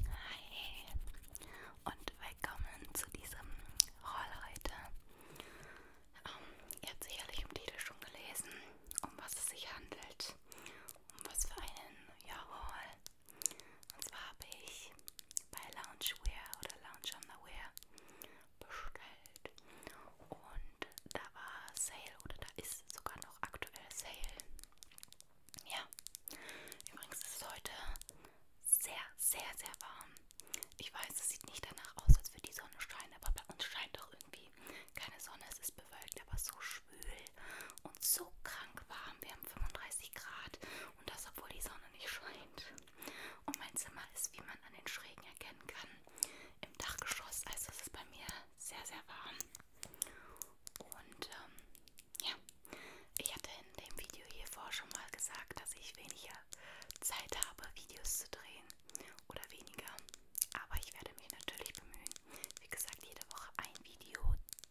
Hi und willkommen zu diesem Haul heute. Ähm, ihr habt sicherlich im Titel schon gelesen, um was es sich handelt, um was für einen ja, Haul. Und zwar habe ich bei Loungewear oder Lounge Underwear bestellt und da war Sale oder da ist sogar noch aktuell Sale ja, übrigens ist es heute sehr, sehr, sehr warm. Ich weiß, es sieht nicht danach aus, als würde die Sonne scheinen, aber bei uns scheint doch irgendwie keine Sonne. Es ist bewölkt, aber so schwül und so krank warm. Wir haben 35 Grad und das, obwohl die Sonne nicht scheint. Und mein Zimmer ist, wie man an den Schrägen erkennen kann, im Dachgeschoss. Also es ist bei mir sehr, sehr warm. Und ähm, ja, ich hatte in dem Video hiervor schon mal gesagt, dass ich weniger Zeit habe, Videos zu drehen oder weniger. Aber ich werde mich natürlich bemühen, wie gesagt, jede Woche ein Video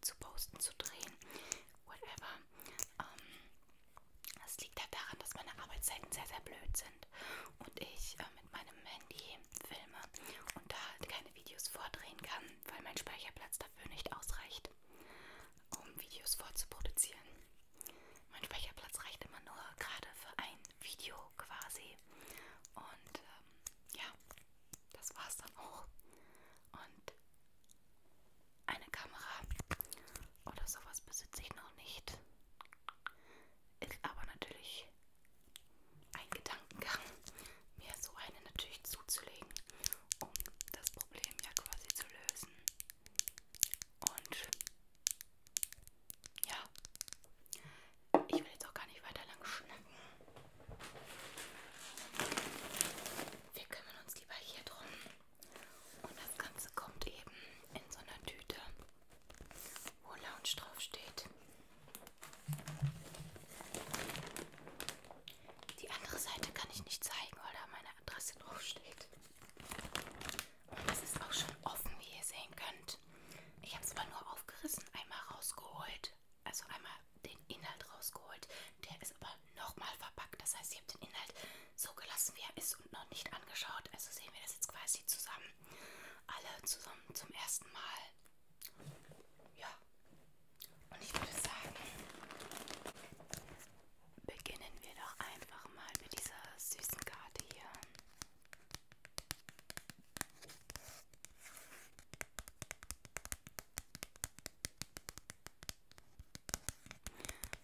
zu posten, zu drehen, whatever. Ähm, das liegt halt daran, dass meine Arbeitszeiten sehr, sehr blöd sind und ich äh, mit meinem Handy filme und da halt keine Videos vordrehen kann, weil mein Speicherplatz da dafür nicht ausreicht, um Videos vorzuproduzieren. Mein Speicherplatz reicht immer nur gerade für ein Video quasi. Und ähm, ja, das war's dann auch. Und eine Kamera oder sowas besitze ich noch nicht. Ist aber natürlich ein Gedankengang, mir so eine natürlich zuzulegen, um das Problem ja quasi zu lösen. Und ja, ich will jetzt auch gar nicht weiter lang schnacken. Wir kümmern uns lieber hier drum. Und das Ganze kommt eben in so einer Tüte, wo Lounge drauf steht. Die andere Seite kann ich nicht zeigen, weil da meine Adresse draufsteht. Und es ist auch schon offen, wie ihr sehen könnt. Ich habe es zwar nur aufgerissen, einmal rausgeholt, also einmal den Inhalt rausgeholt. Der ist aber nochmal verpackt. Das heißt, ich habe den Inhalt so gelassen, wie er ist und noch nicht angeschaut. Also sehen wir das jetzt quasi zusammen. Alle zusammen zum ersten Mal. Ja, und ich würde sagen, beginnen wir doch einfach mal mit dieser süßen Karte hier.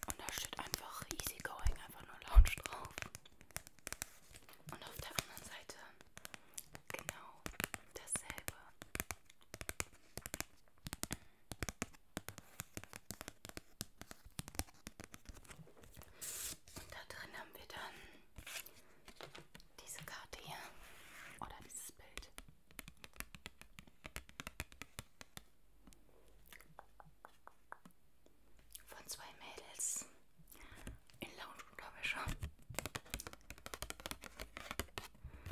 Und da steht einfach Easy Going, einfach nur Lounge drauf. Und auf der anderen Seite Genau dasselbe. Und da drin haben wir dann diese Karte hier oder dieses Bild. Von zwei Mädels in Lounge-Unterwäsche.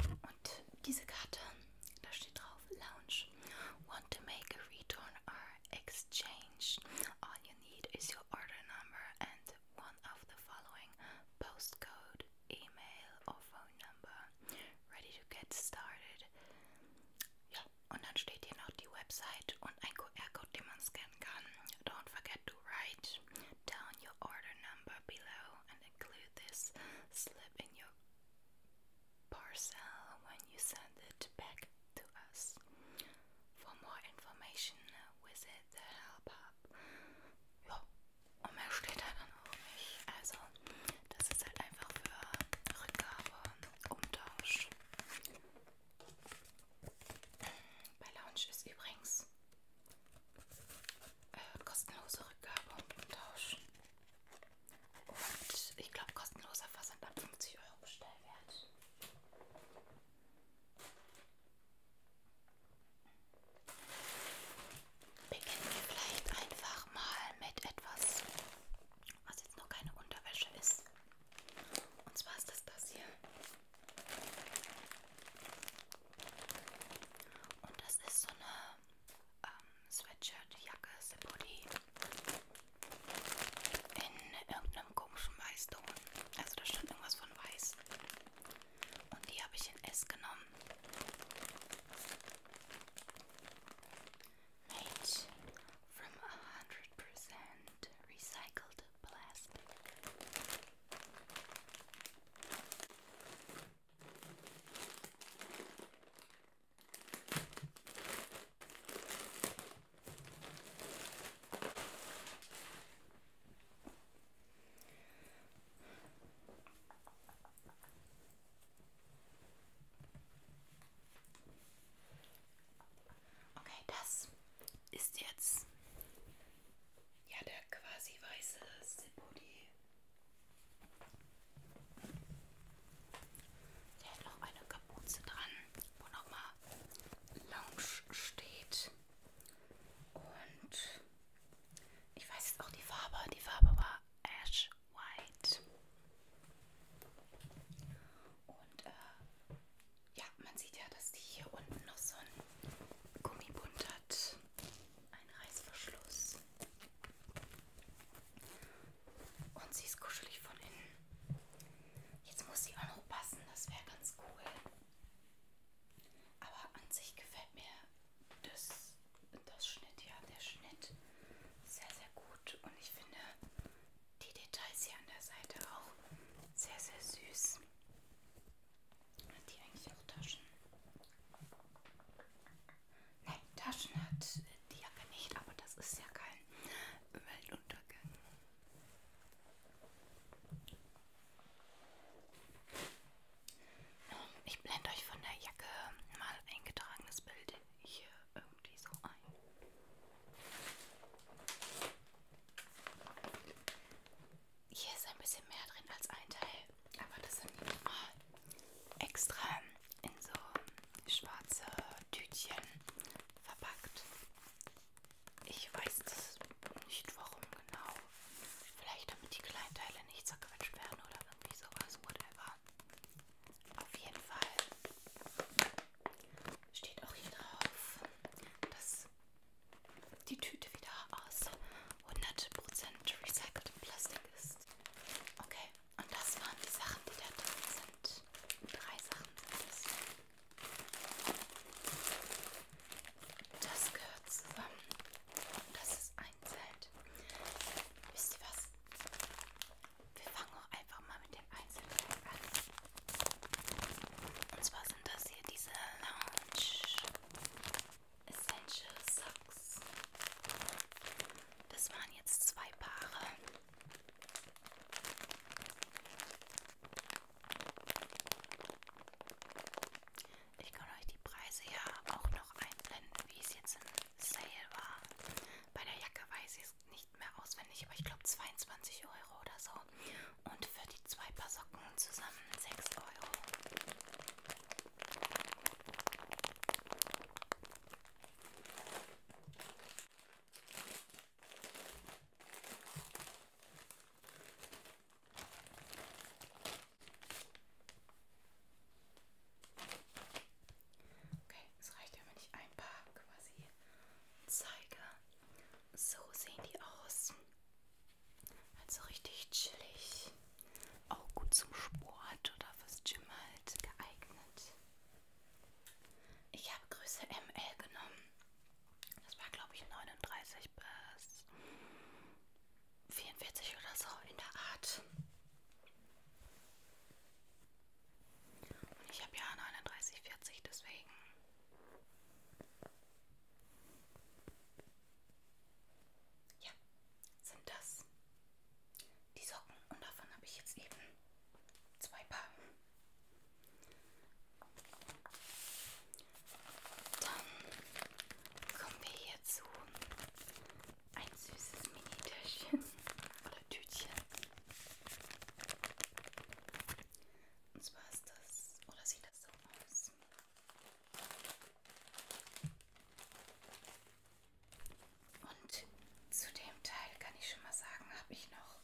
Und diese Karte, da steht drauf Lounge. Want to make a return or exchange? All you need is your order number and one of the following postcode, email or phone number. Ready to get started. Ja, und dann steht hier noch die Website und ein QR-Code, den man scannen kann. Don't forget forget write down your order number below and include this slip in your parcel when you send it back to us. For more information, visit the Help Hub. Oh, Bei Lounge ist übrigens äh, kostenlose Rückgabe und Tausch. Und ich glaube, kostenloser Versand ab 50 Euro Bestellwert. Beginnen wir vielleicht einfach mal mit etwas, was jetzt noch keine Unterwäsche ist. Und zwar ist das das hier. Und das ist so eine ähm, Sweatshirt-Jacke, Sepoli. In irgendeinem komischen Weißton. Also da stand irgendwas von Weiß. Und die habe ich in S genommen. Made from 100% recycled plastic. Okay, das ist jetzt ja, der quasi weiße Zipodi. Der hat noch eine Kapuze dran, wo nochmal Lounge steht. Und ich weiß jetzt auch die Farbe. Die Farbe war Ash White. Und äh, ja, man sieht ja, dass die hier unten noch so einen Gummibund hat. Ein Reißverschluss. Und sie ist kuschelig von innen. Jetzt muss sie auch noch passen, das wäre ganz cool. Aber an sich gefällt mir das, das Schnitt, ja, der Schnitt sehr, sehr gut. Und ich finde die Details hier an der Seite auch sehr, sehr süß. Hat die eigentlich auch Taschen? Nein, Taschen hat die Jacke nicht, aber das ist ja kein Weltuntergang. Ähm, ich blende euch von der Jacke mal eingetragenes Bild hier irgendwie so ein hier ist ein bisschen mehr drin als ein Teil, aber das sind oh, extra in so schwarze Tütchen verpackt. Ich weiß das nicht warum genau. Vielleicht damit die kleinen Teile nicht zerquetscht werden oder irgendwie sowas, whatever. Auf jeden Fall steht auch hier drauf, dass die Tüte wieder aus 100% recyceltem Plastik ist. Okay, und das waren die Sachen, die da drin sind. Drei Sachen sind es. Das gehört zusammen. Und das ist einzeln. Wisst ihr was? Wir fangen auch einfach mal mit dem Einzelteil an. Und zwar sind das hier diese Lounge Essential Socks. Das waren jetzt zwei Paare. Ich kann euch die Preise ja auch noch einblenden, wie es jetzt im Sale war. Bei der Jacke weiß ich es nicht mehr auswendig, aber ich glaube 22 Euro oder so. Und für die zwei Paar Socken zusammen 6 Euro. Okay, es reicht ja, wenn ich ein paar quasi zeige. So sehen die aus. Also richtig chillig. Auch gut zum Sport oder fürs Gym halt geeignet. Ich habe Größe ML genommen. Das war glaube ich 39 bis 44 oder so in der Art. Und ich habe ja 39, 40, deswegen ja, sind das die Socken und davon habe ich jetzt eben zwei Paar. Dann kommen wir hier zu ein süßes Mini-Täschchen oder Tütchen. Und zwar ist das, oder sieht das so aus? Und zu dem Teil kann ich schon mal sagen, habe ich noch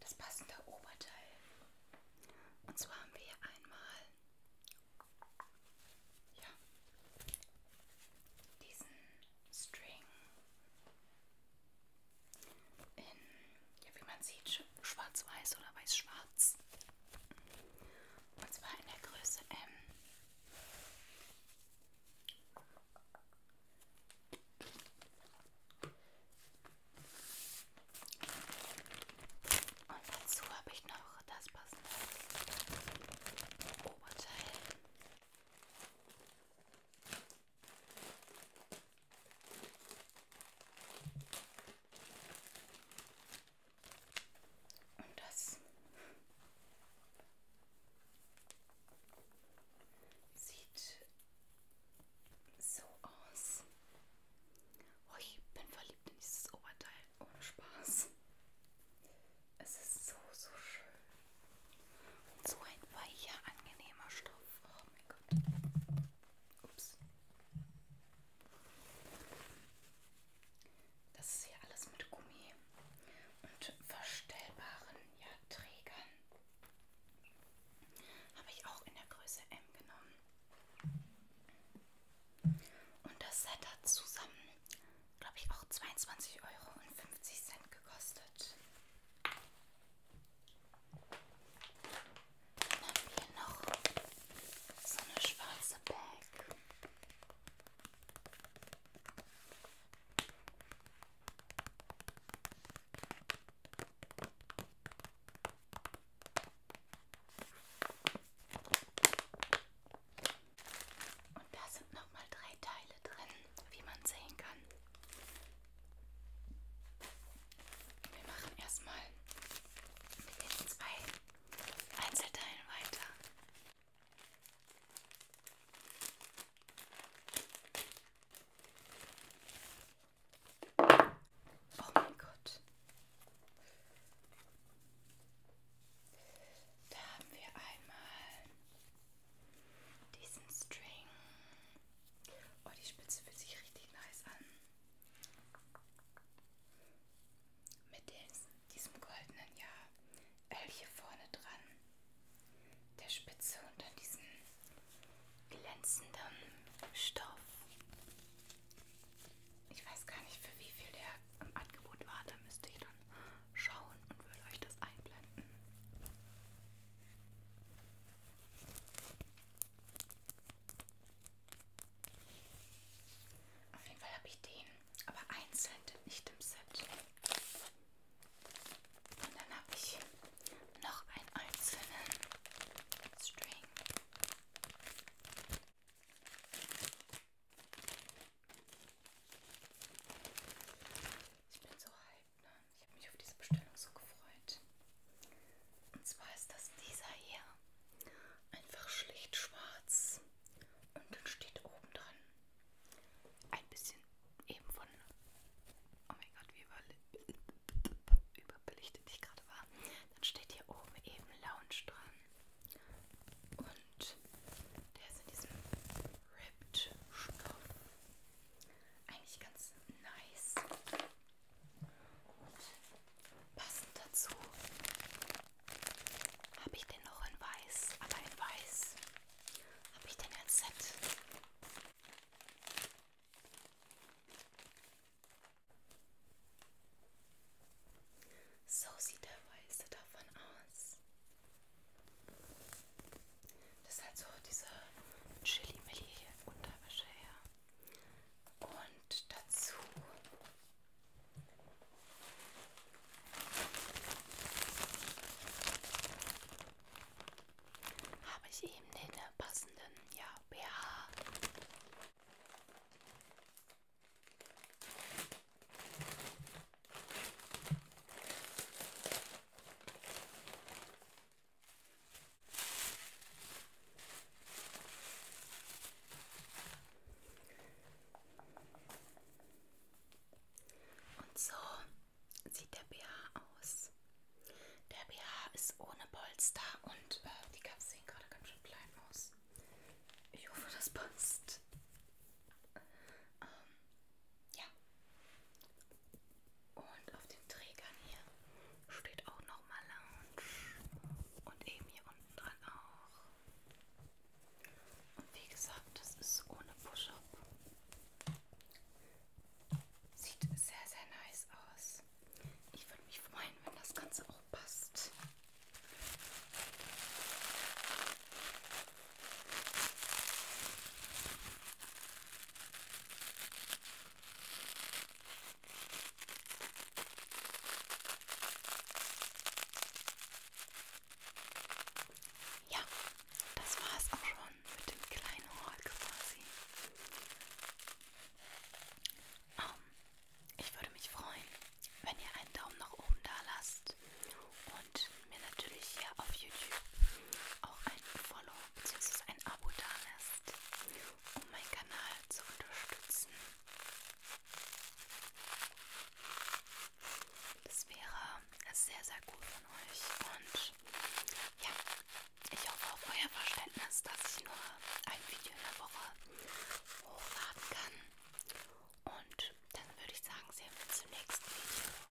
das passende Oberteil. Und zwar haben wir hier einmal ja, diesen String in, ja, wie man sieht, schwarz-weiß oder weiß-schwarz. Und zwar in der Größe M. Und dazu habe ich noch das passende Oberteil. Und das sieht so aus. Oh, ich bin verliebt in dieses Oberteil. Ohne Spaß. Es ist so, so schön. Und so ein weicher, angenehmer Stoff. Oh mein Gott. Ups. Das ist hier alles mit Gummi und verstellbaren ja, Trägern. Habe ich auch in der Größe M genommen. Und das Set hat zusammen, glaube ich, auch 22,50 Euro gekostet. Dann haben wir noch so eine schwarze Bag. Und da sind nochmal drei Teile drin, wie man sehen kann. Wir machen erstmal mit den zwei Einzelteilen weiter. Oh mein Gott. Da haben wir einmal diesen String. Oh, die Spitze fühlt sich richtig nice an. Mit des, diesem goldenen, ja, L hier vorne dran, der Spitze und dann diesen glänzenden Stoff. Ich weiß gar nicht, für wie viel der im Angebot war. Da müsste ich dann schauen und würde euch das einblenden. Auf jeden Fall habe ich den, aber einzeln, nicht im Set. Und dann habe ich noch einen einzelnen String. Ich bin so hyped. Lügnern. Ich habe mich auf diese Bestellung so gefreut. Und zwar ist das dieser hier. Einfach schlicht schwarz. Und dann steht oben dran ein bisschen eben von. Oh mein Gott, wie über, überbelichtet ich gerade war. Dann steht hier oben eben Lounge dran. Und der ist in diesem Ripped Stoff eigentlich ganz nice. Passend dazu habe ich den noch in weiß, aber in weiß habe ich den als Set. So sieht der weiße davon aus. Das ist halt so diese Chili-Milli-Unterwäsche her. Und dazu habe ich eben den äh, passenden ja, BH. Und so sieht der BH aus. Der BH ist ohne Polster und äh, die Kaps sehen gerade ganz schön klein aus. Ich hoffe, das passt. Ähm, ja. Und auf den Trägern hier steht auch nochmal Lounge. Und eben hier unten dran auch. Und wie gesagt, das ist ohne Push-Up. Sieht sehr, sehr nice aus. Ich würde mich freuen, wenn das Ganze auch passt. Ja, das war es auch schon mit dem kleinen Haul quasi. Um, ähm, ich würde mich freuen, wenn ihr einen Daumen nach oben da lasst und und mir natürlich hier auf YouTube auch ein Follow bzw. ein Abo da lässt, um meinen Kanal zu unterstützen. Das wäre sehr, sehr gut von euch und ja, ich hoffe auf euer Verständnis, dass ich nur ein Video in der Woche hochladen kann. Und dann würde ich sagen, sehen wir uns im nächsten Video.